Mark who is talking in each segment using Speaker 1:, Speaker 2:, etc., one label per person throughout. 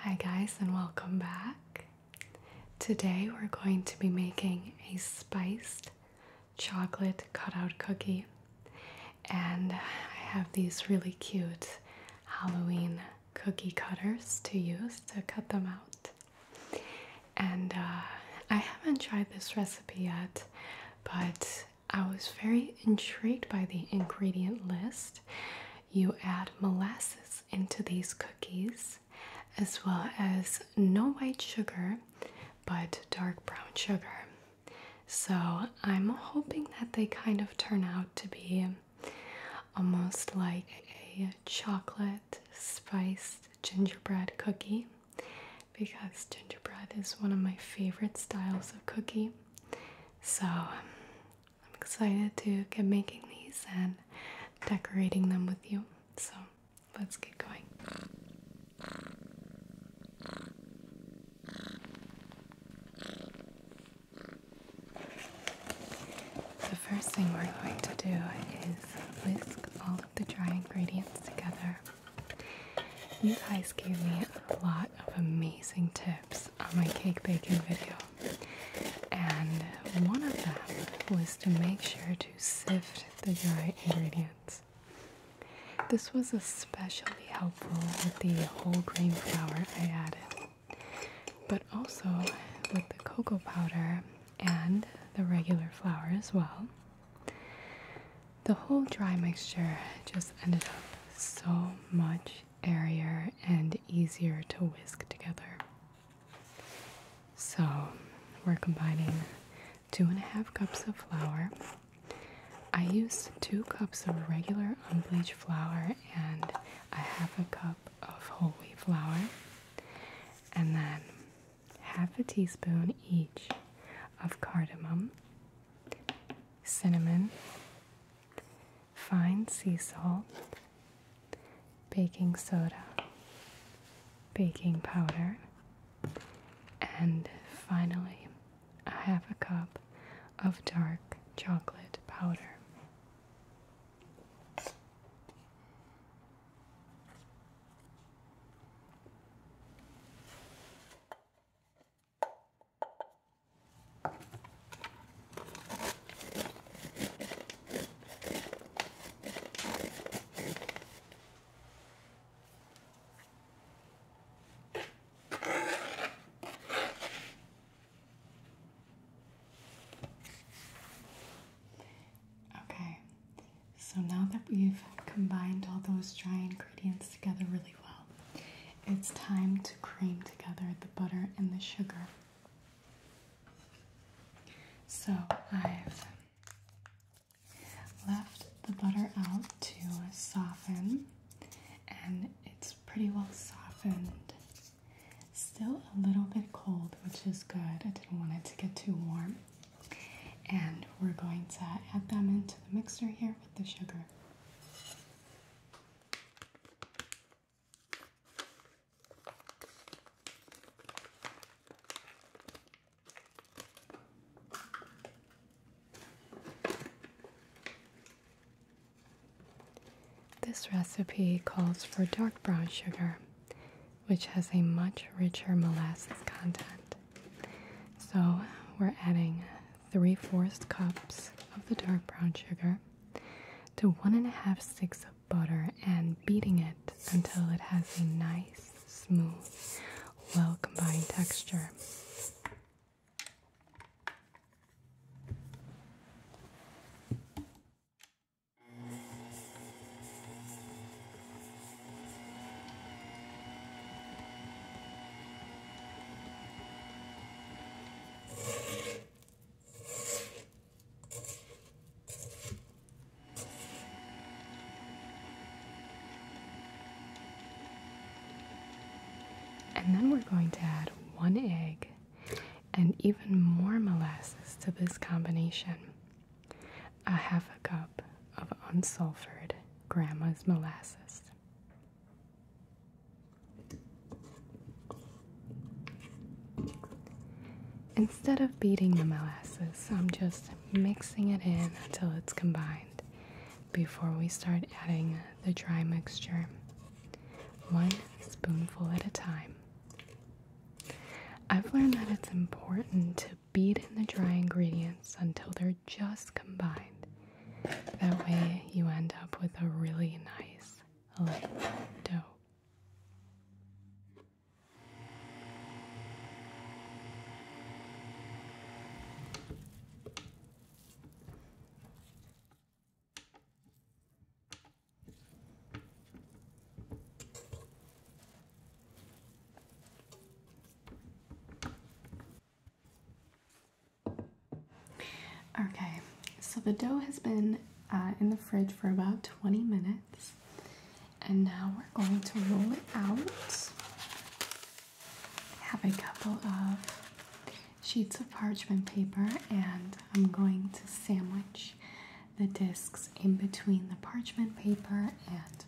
Speaker 1: Hi, guys, and welcome back. Today, we're going to be making a spiced chocolate cutout cookie, and I have these really cute Halloween cookie cutters to use to cut them out. And uh, I haven't tried this recipe yet, but I was very intrigued by the ingredient list you add molasses into these cookies as well as no white sugar but dark brown sugar. So I'm hoping that they kind of turn out to be almost like a chocolate spiced gingerbread cookie because gingerbread is one of my favorite styles of cookie. So I'm excited to get making these and decorating them with you. So let's get going. The first thing we're going to do is whisk all of the dry ingredients together. You guys gave me a lot of amazing tips on my cake baking video, and one of them was to make sure to sift the dry ingredients. This was especially helpful with the whole grain flour I added, but also with the cocoa powder and the regular flour as well. The whole dry mixture just ended up so much airier and easier to whisk together. So we're combining two and a half cups of flour. I used two cups of regular unbleached flour and a half a cup of whole wheat flour, and then half a teaspoon each of cardamom, cinnamon, fine sea salt, baking soda, baking powder, and finally, a half a cup of dark chocolate powder. Okay, so now that we've combined all those dry ingredients together really well, it's time to cream together the butter and the sugar. So I've left the butter out to soften, and it's pretty well softened. Still a little bit cold, which is good. I didn't want it to get too warm. And we're going to add them into the mixer here with the sugar. This recipe calls for dark brown sugar, which has a much richer molasses content. So we're adding three fourths cups of the dark brown sugar to one and a half sticks of butter and beating it until it has a nice, smooth, well combined texture. And then we're going to add one egg and even more molasses to this combination. A half a cup of unsulfured grandma's molasses. Instead of beating the molasses, I'm just mixing it in until it's combined before we start adding the dry mixture, one spoonful at a time. I've learned that it's important to beat in the dry ingredients until they're just combined. That way, you end up with a really nice light dough. Okay, so the dough has been uh, in the fridge for about 20 minutes, and now we're going to roll it out. Have a couple of sheets of parchment paper, and I'm going to sandwich the discs in between the parchment paper and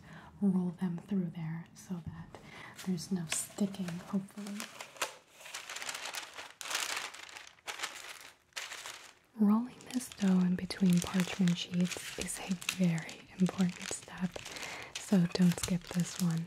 Speaker 1: roll them through there so that there's no sticking, hopefully. Rolling this dough in between parchment sheets is a very important step, so don't skip this one.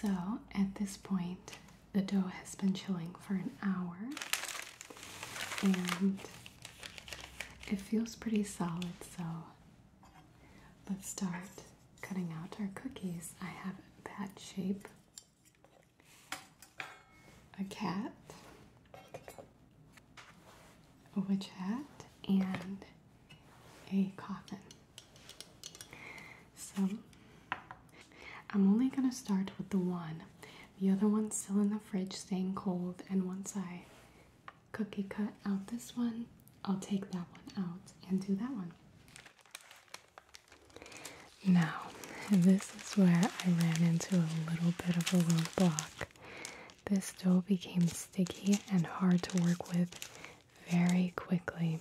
Speaker 1: So at this point, the dough has been chilling for an hour and it feels pretty solid. So let's start cutting out our cookies. I have a bat shape, a cat, a witch hat, and a coffin. So I'm only going to start with the one. The other one's still in the fridge, staying cold, and once I cookie cut out this one, I'll take that one out and do that one. Now, this is where I ran into a little bit of a roadblock. This dough became sticky and hard to work with very quickly.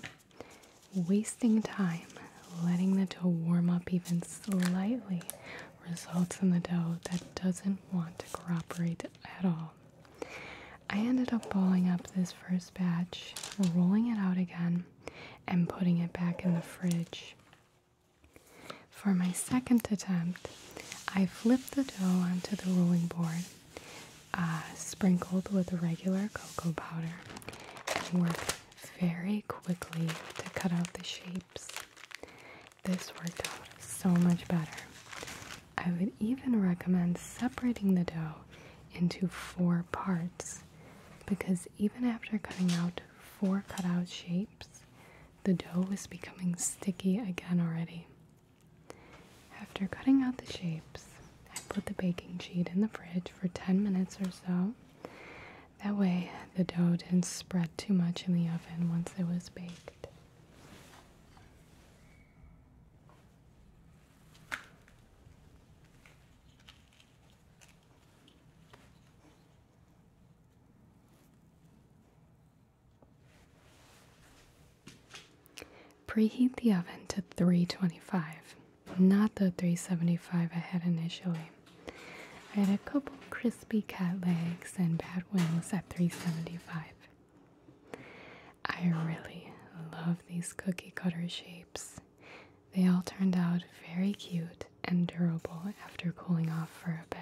Speaker 1: Wasting time letting the dough warm up even slightly results in the dough that doesn't want to cooperate at all. I ended up balling up this first batch, rolling it out again, and putting it back in the fridge. For my second attempt, I flipped the dough onto the rolling board, uh, sprinkled with regular cocoa powder, and worked very quickly to cut out the shapes. This worked out so much better. I would even recommend separating the dough into four parts because even after cutting out four cutout shapes, the dough was becoming sticky again already. After cutting out the shapes, I put the baking sheet in the fridge for 10 minutes or so. That way, the dough didn't spread too much in the oven once it was baked. Preheat the oven to 325, not the 375 I had initially. I had a couple crispy cat legs and bat wings at 375. I really love these cookie cutter shapes. They all turned out very cute light and durable after cooling off for a bit.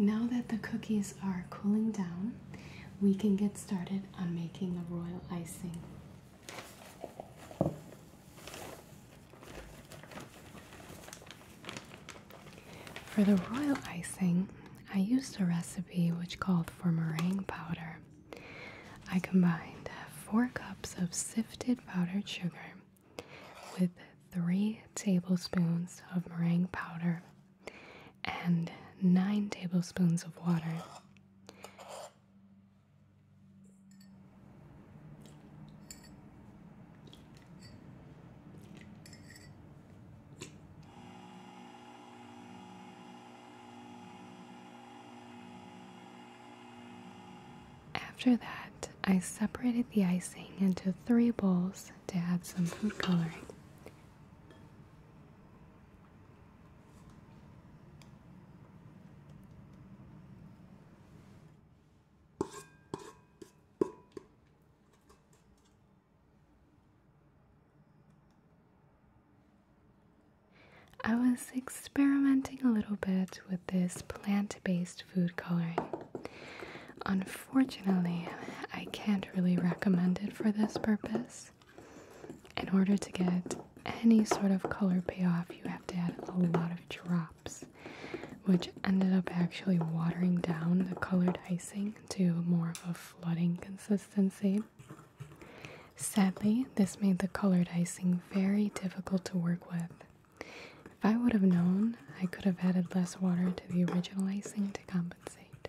Speaker 1: Now that the cookies are cooling down, we can get started on making the royal icing. For the royal icing, I used a recipe which called for meringue powder. I combined 4 cups of sifted powdered sugar with 3 tablespoons of meringue powder and 9 tablespoons of water. After that, I separated the icing into three bowls to add some food coloring. I was experimenting a little bit with this plant based food coloring. Unfortunately, I can't really recommend it for this purpose in order to get any sort of color payoff, you have to add a lot of drops, which ended up actually watering down the colored icing to more of a flooding consistency. Sadly, this made the colored icing very difficult to work with. If I would have known, I could have added less water to the original icing to compensate.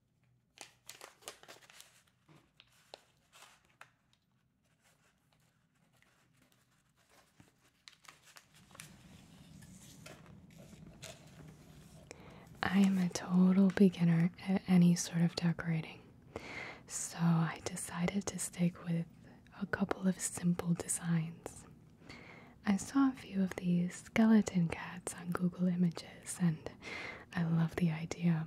Speaker 1: I am a total beginner at any sort of decorating, so I decided to stick with a couple of simple designs. I saw a few of these skeleton cats on Google Images, and I love the idea.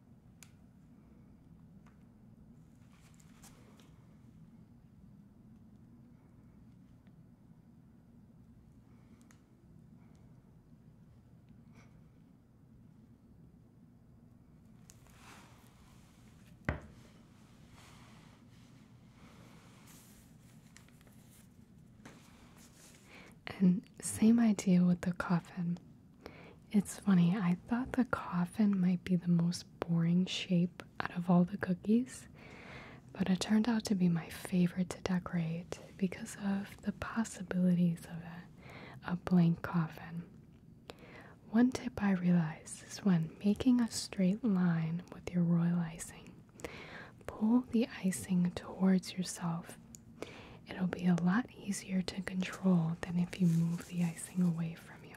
Speaker 1: And same idea with the coffin. It's funny, I thought the coffin might be the most boring shape out of all the cookies, but it turned out to be my favorite to decorate because of the possibilities of a, a blank coffin. One tip I realized is when making a straight line with your royal icing, pull the icing towards yourself. It'll be a lot easier to control than if you move the icing away away from you.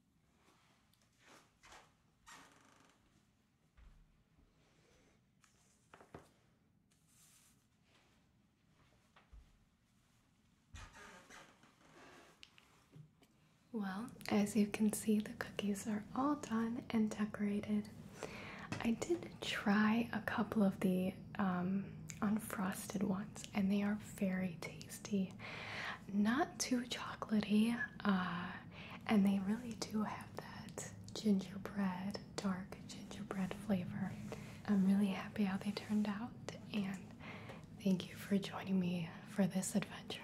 Speaker 1: Well, as you can see, the cookies are all done and decorated. I did try a couple of the um, unfrosted ones, and they are very tasty not too chocolaty, uh, and they really do have that gingerbread, dark gingerbread flavor. I'm really happy how they turned out, and thank you for joining me for this adventure.